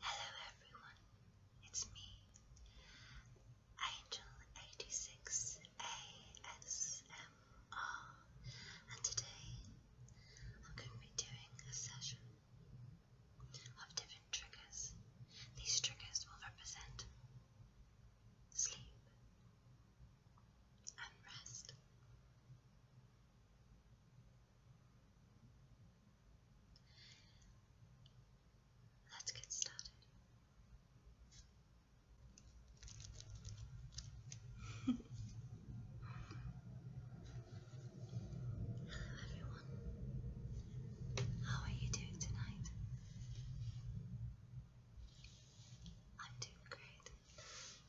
Hello everyone, it's me, Angel86ASMR, and today I'm going to be doing a session of different triggers. These triggers will represent sleep and rest. Let's get started. Hello everyone. How are you doing tonight? I'm doing great.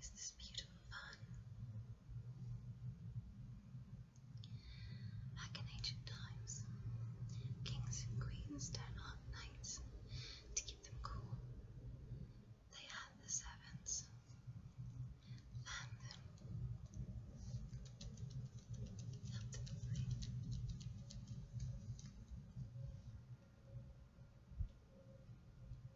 is this beautiful fun? Back in ancient times, kings and queens turned on nights to keep them cool. They had the servants fan them up to the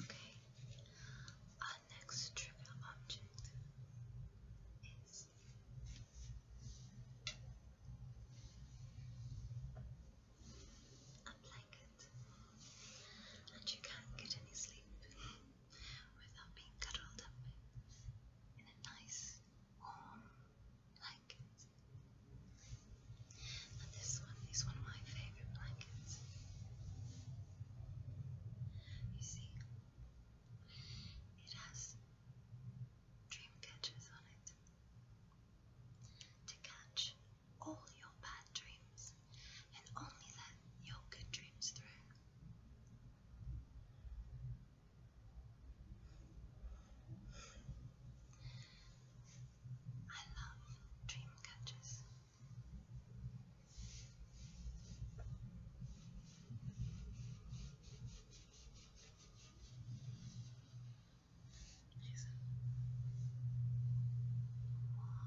Okay, our next trivial object is a blanket, and you can't get any sleep without being cuddled up in a nice, warm blanket. And this one is one of my favourite blankets. You see, it has dream catchers on it to catch all your bad dreams and only let your good dreams through. I love dream catchers. Amazing. Wow.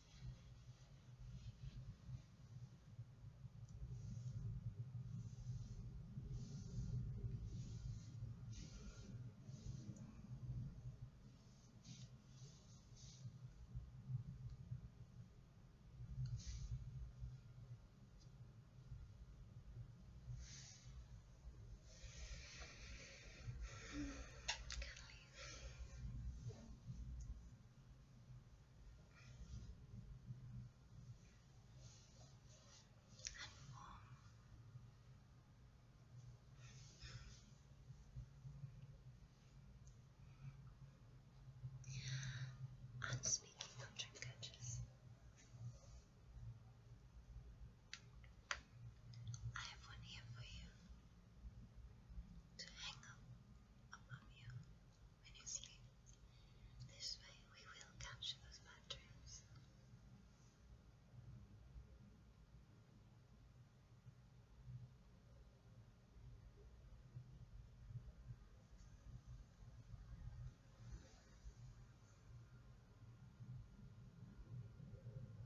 Kind of and warm. And speaking of trinkets, I have one here for you to hang up above you when you sleep. This way we will capture those dreams.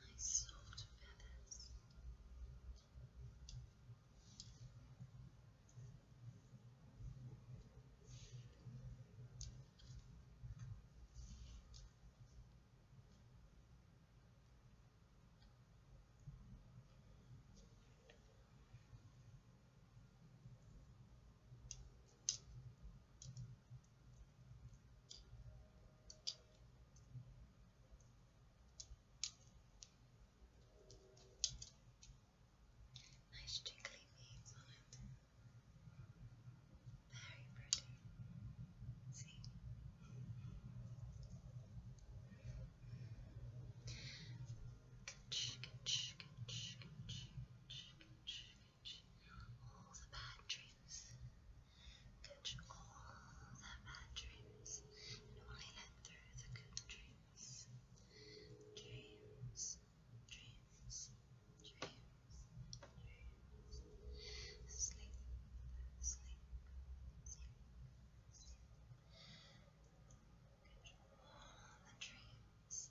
Nice soft feathers. Nice Nice jiggly beads on it. Very pretty. See? All the bad dreams. Catch all the bad dreams. And only let through the good dreams. Dreams. Dreams dreams, dreams, sleep, sleep, sleep, sleep. Control the dreams.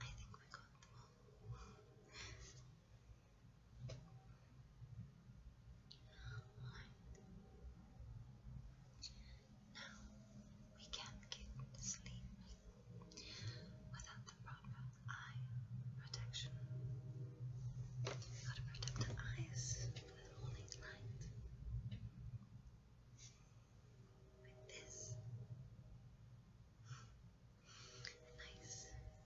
I think we got them all. Now we can't get sleep without the proper eye protection. You to protect the eyes for the morning light. With this. nice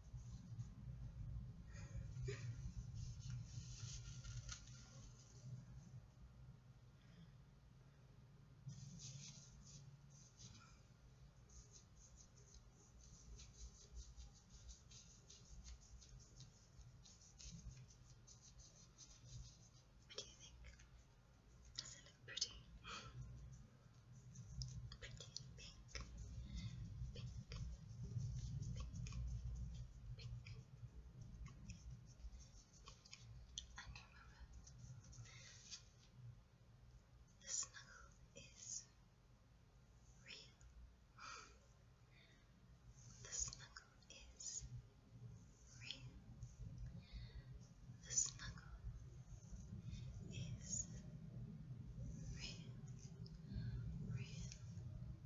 What do you think? Does it look pretty? pretty pink pink, pink, pink, pink. And remember, the snuggle is real. The snuggle is real. The snuggle is real, real, real,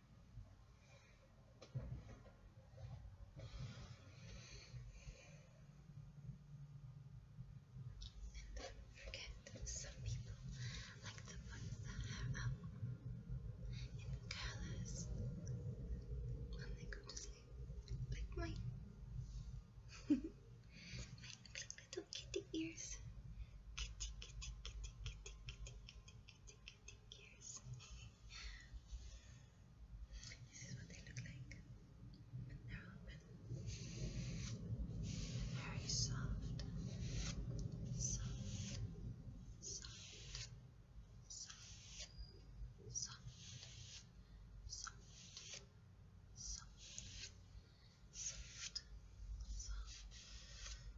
And don't forget, some people like the ones that are up in colors when they go to sleep, like mine. my little kitty ears kitty, kitty this is what they look like. They're open. Very Soft. Soft. Soft. Soft. Soft. Soft. Soft. Soft. Soft.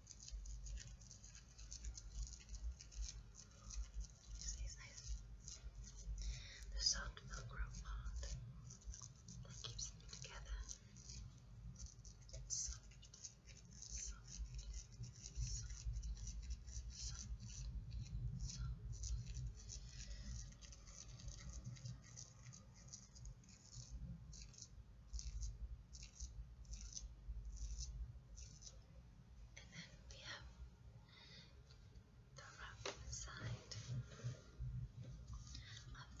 This nice. The soft velcro bond that keeps them together. It's soft, soft, soft, soft, soft. And then we have the wrap side of the velcro. And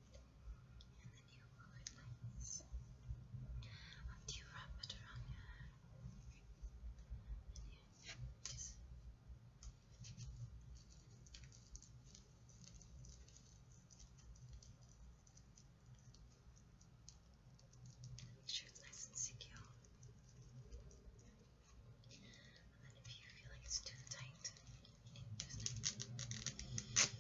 and then you pull it like this. And you wrap it around your hair. And you just Make sure it's nice and secure. And then if you feel like it's too tight, just like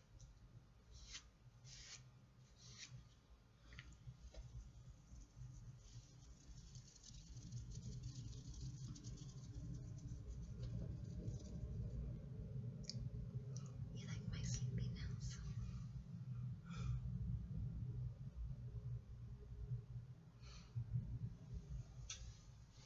You like my sleepy nails?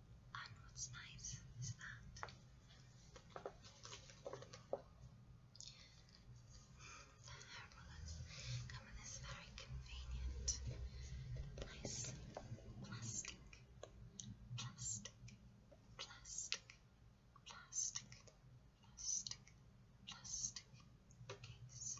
And what's nice is that the hair come in this very convenient, nice plastic, plastic, plastic, plastic, plastic, plastic case.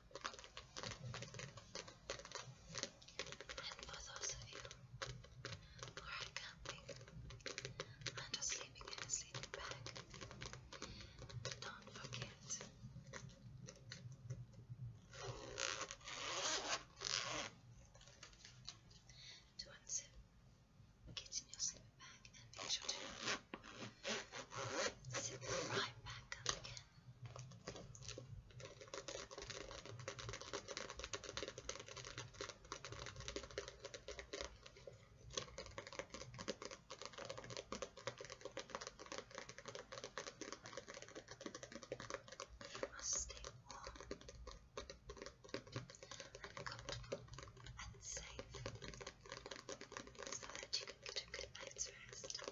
And for those of you who are camping and are sleeping in a sleeping bag, don't forget to unzip, get in your sleeping bag and make sure to Sit right back up again. You must stay warm and comfortable and safe so that you can get a good night's rest.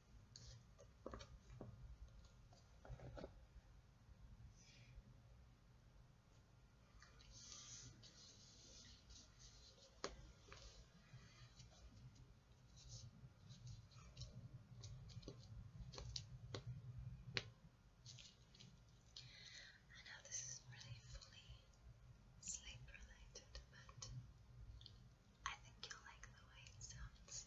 I know this is really fully sleep related, but I think you'll like the way it sounds.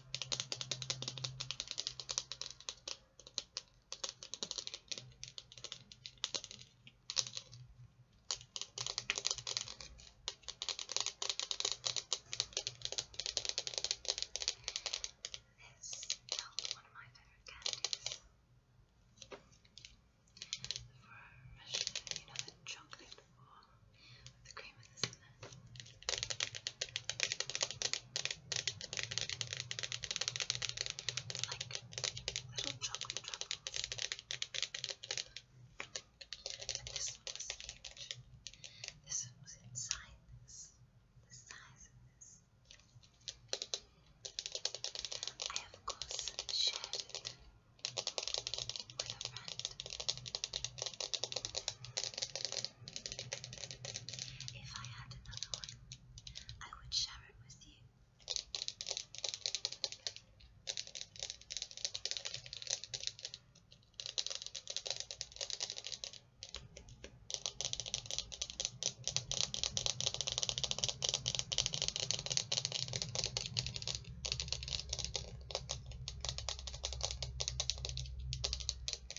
This is one of my favorite candies. For especially, you know, the chocolate ball with the cream yours, isn't it? It's like little chocolate truffles. And this one was huge. This one was inside this. The size of this. I of course shared it with a friend. If I had another one, I would share it with you.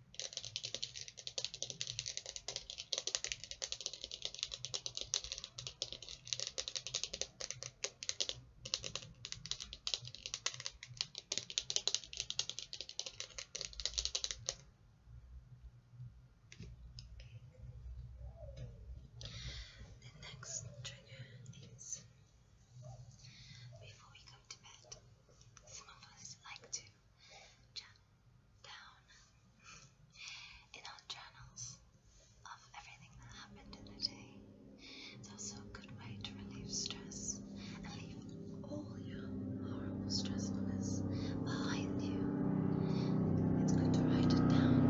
The next trigger is before we go to bed, some of us like to chat in all channels of everything that happened in the day. It's also a good way to relieve stress and leave all your horrible stressfulness behind you. It's good to write it down.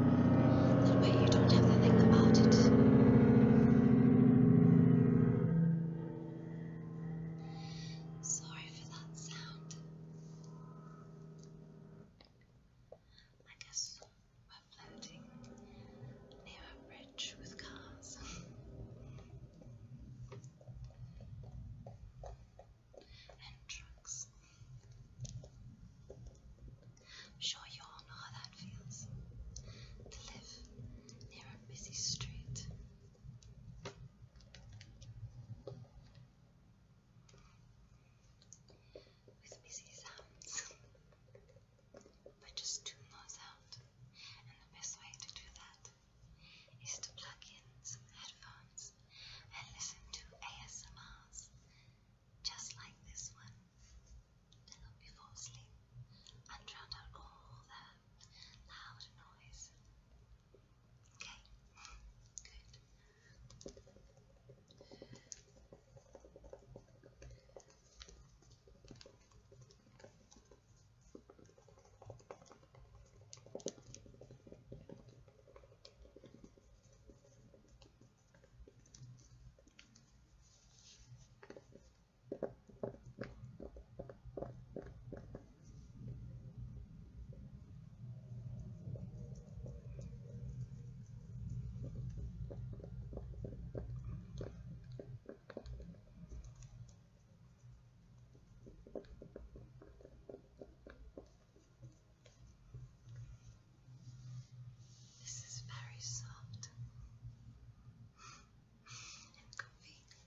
That way you don't have to think about it. Sorry for that sound. I guess we're floating near a bridge with cars. and trucks. sure you all know how that feels to live near a busy street with busy sounds by just tune those out. And the best way to do that is to plug in some headphones and listen to ASMRs just like this one. To help you and drown out all that loud noise. Okay, good. Okay. This is very soft and convenient.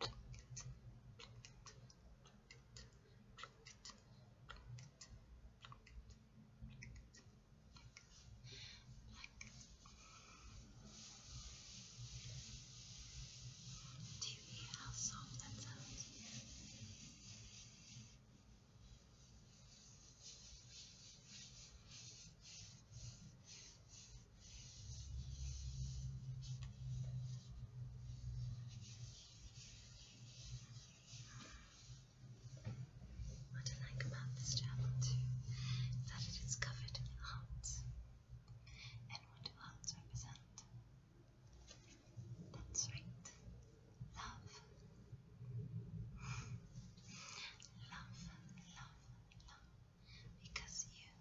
do you hear how soft that sounds? What I like about this channel too is that it is covered in hearts. And what do hearts represent? That's right, love. love, love, love. Because you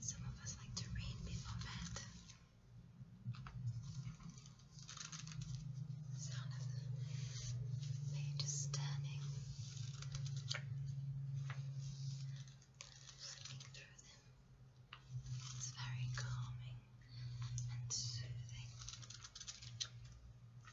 Some of us like to read before bed. The sound of the pages turning, flipping through them. It's very calming and soothing.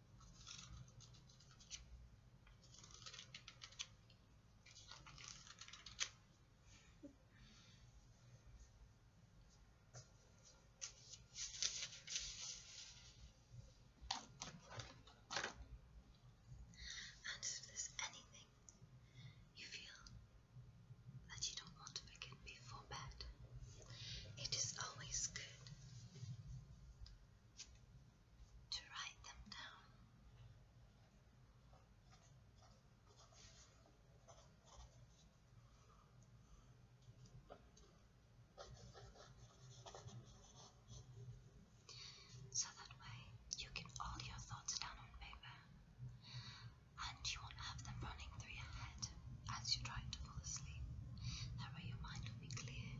And if there's anything you feel that you don't want to begin before bed, it is always good to write them down. So that way you get all your thoughts down on paper and you won't have them running through your head as you try to fall asleep. That way your mind will be clear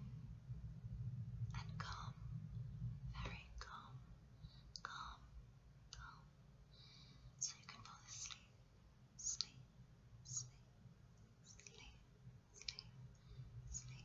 and calm, very calm, calm, calm, so you can fall asleep, sleep, sleep, sleep, sleep, sleep.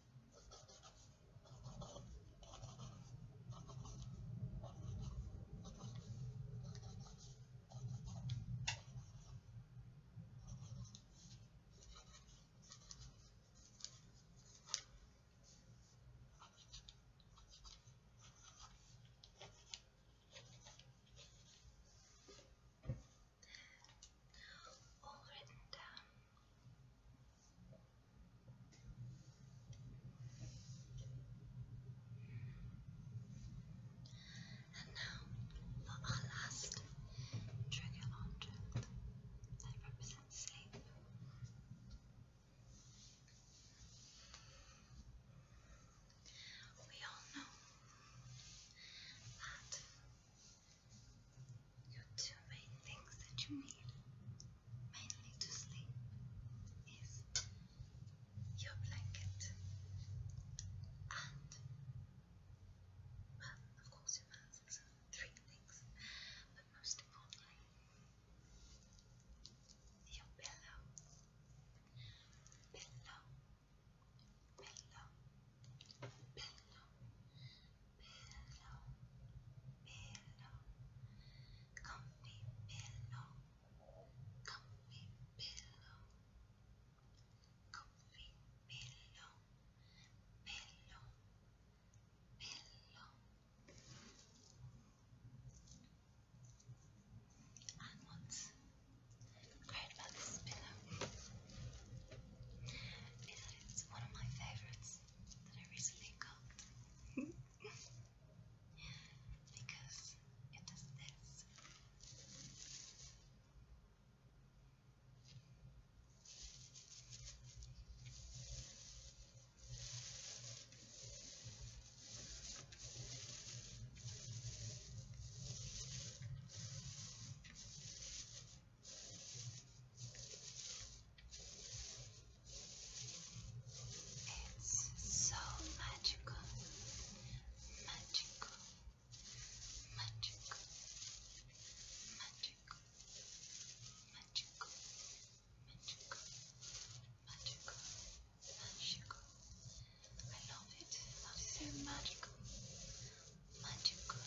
All written down and now, for our last trigger object that represents sleep. We all know that you two main things that you need mainly to sleep is your blanket and well of course your masks three things but most importantly your pillow pillow pillow pillow pillow, pillow, comfy pillow, comfy pillow, comfy pillow, pillow, pillow. And once cried about this pillow. it's one of my favorites that I recently cooked because it does this. It's so magical, magical, magical, magical, magical, magical, magical, magical. I love it. That is so magical, magical,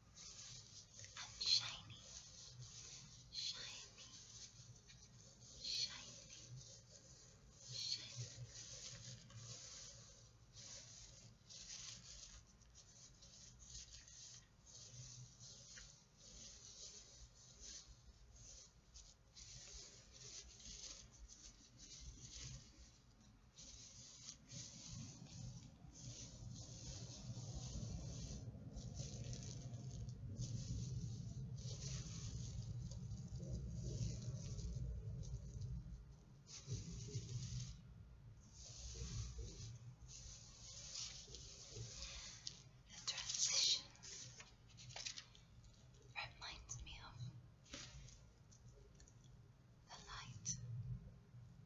and shiny, shiny, shiny, shiny. Now the transition reminds me of the light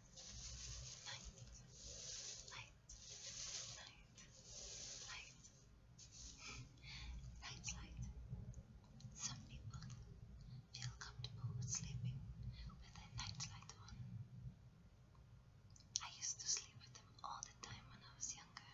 light, light. Some people feel comfortable sleeping with their night on. I used to sleep with them all the time when I was younger.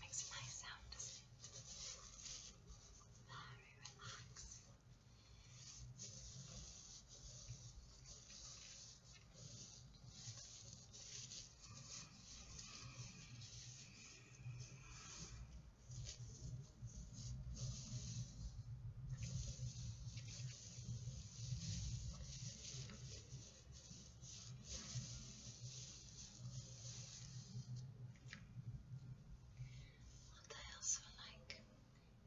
Makes a nice sound, doesn't it? Very relaxing. What I also like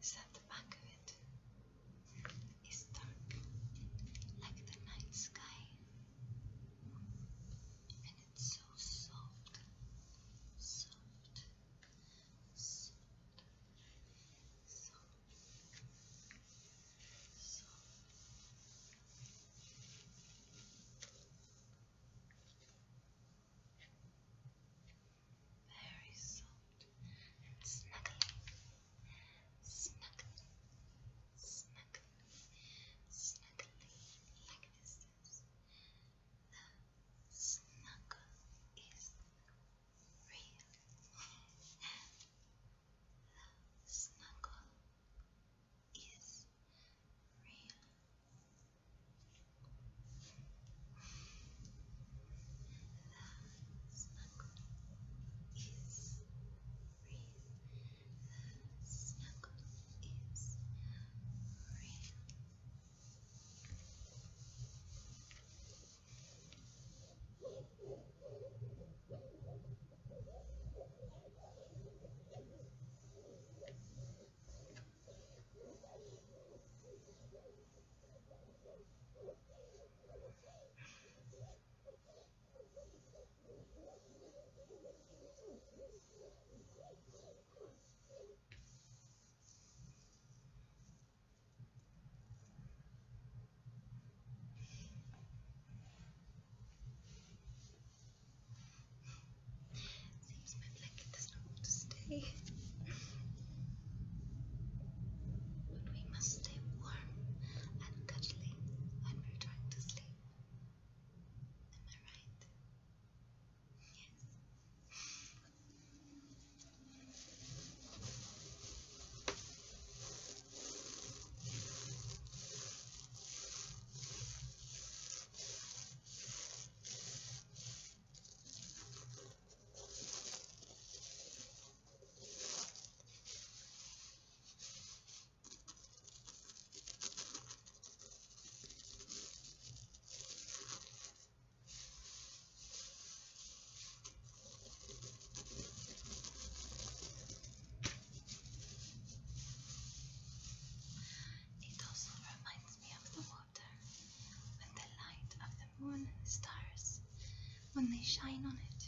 is that the back of it is dark, like the night sky, and it's so soft, soft, soft, soft, soft. Very soft and snuggly snuggly, snuggly, snuggly like this is. The snuggle is real. the snuggle is real. The snuggle is real breathe. Snuggles is real. Seems a bit like it does not want to stay. but we must stay warm and cuddly when we're trying to sleep. Am I right? Yes. It also reminds me of the water and the light of the moon and the stars when they shine on it.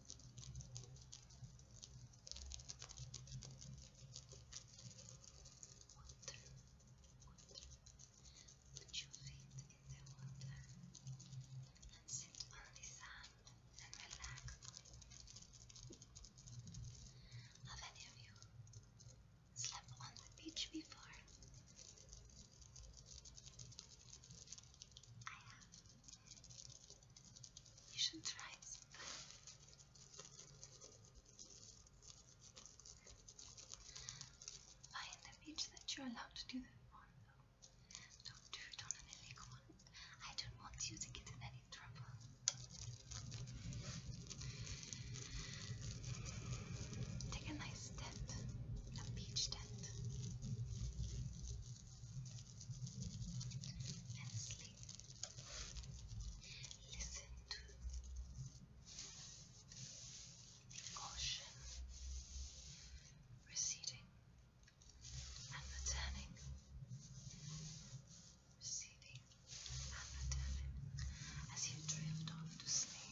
water, water. Put your feet in the water and sit on the sand and relax. Have any of you slept on the beach before? I have. You should try it sometime. Find a beach that you're allowed to do that on, though. Don't do it on an illegal one. I don't want you to get in any trouble. Take a nice tent, a beach tent and sleep. Listen to the ocean receding and returning, receding and returning as you drift off to sleep.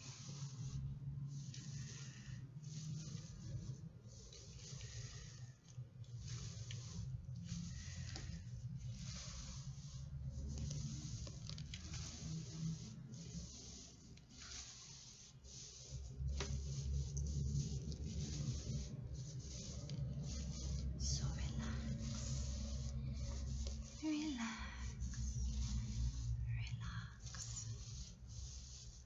So relax, relax, relax.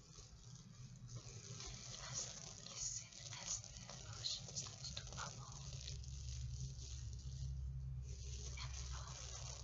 listen as the emotion starts to bubble and fall. As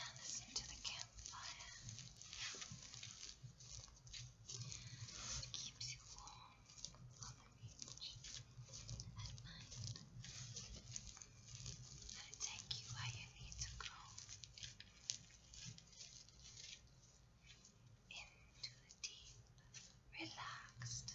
and listen to the campfire. It keeps you warm on the beach at night. It'll take you where you need to go. Into a deep, relaxed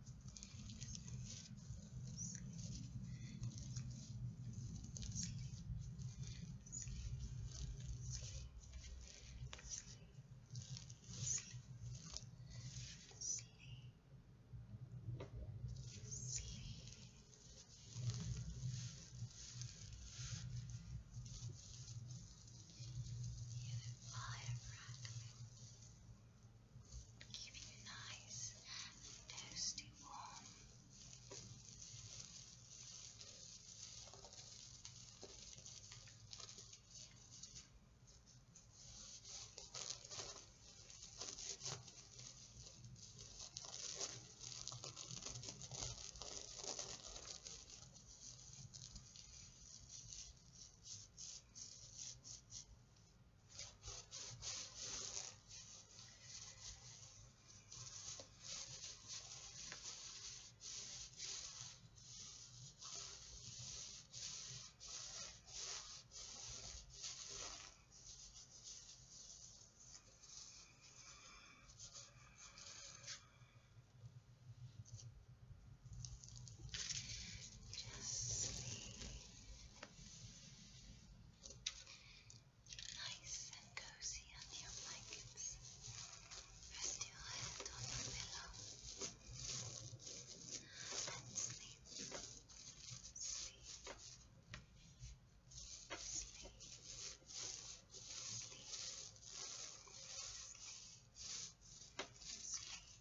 Fire crackling, keep you nice and toasty warm. Now, just sleep nice and cozy on your blankets. Rest your head on your pillow and sleep. Sleep. Sleep. Sleep. Sleep. Sleep.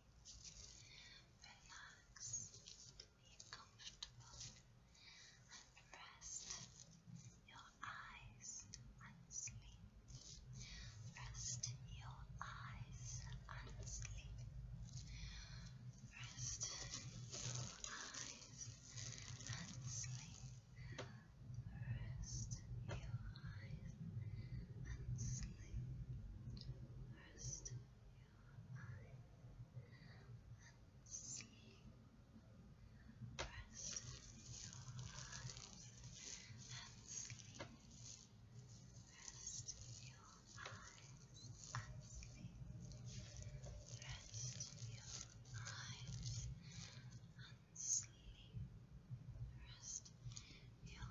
Relax, be comfortable and rest your eyes and sleep. Rest your eyes and sleep. Rest your eyes and sleep. Rest your eyes and sleep. and sleep rest your eye and sleep. Rest your eyes and sleep. Rest your eyes and sleep. Rest your eyes and sleep. Rest your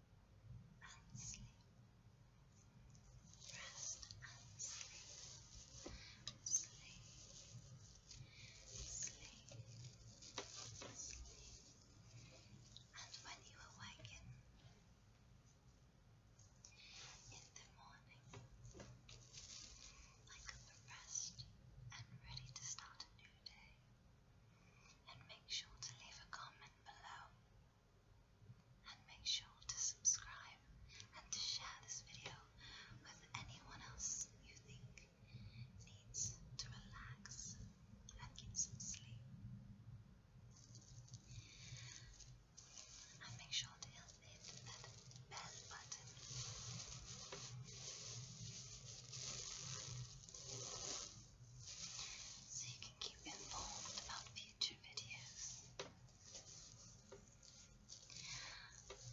and sleep. sleep. Sleep. Sleep. Sleep. And when you awaken in the morning, like refreshed and ready to start a new day, and make sure to leave a comment below and make sure to subscribe and to share this video with anyone else you think needs to relax and get some sleep. And make sure to hit that bell button so you can keep informed about future videos.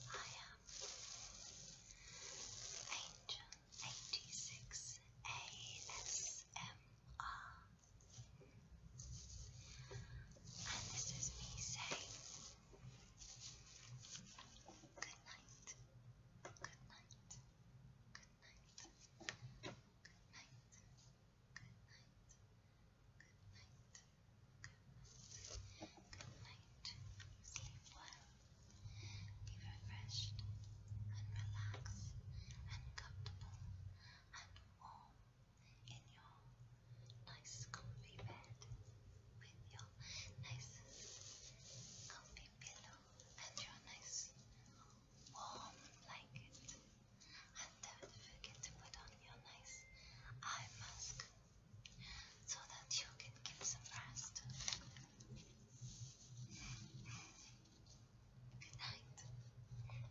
I am Angel 86 ASMR, and this is me saying good night, good night, good night sleep well, be refreshed and relaxed and comfortable and warm in your nice comfy bed with your nice comfy pillow and your nice warm blanket. And don't forget to put on your nice eye mask so that you can get some rest. Good night.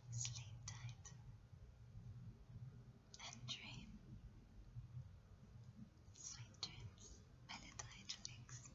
Sleep tight. And dream. Sweet dreams. Melody drinks.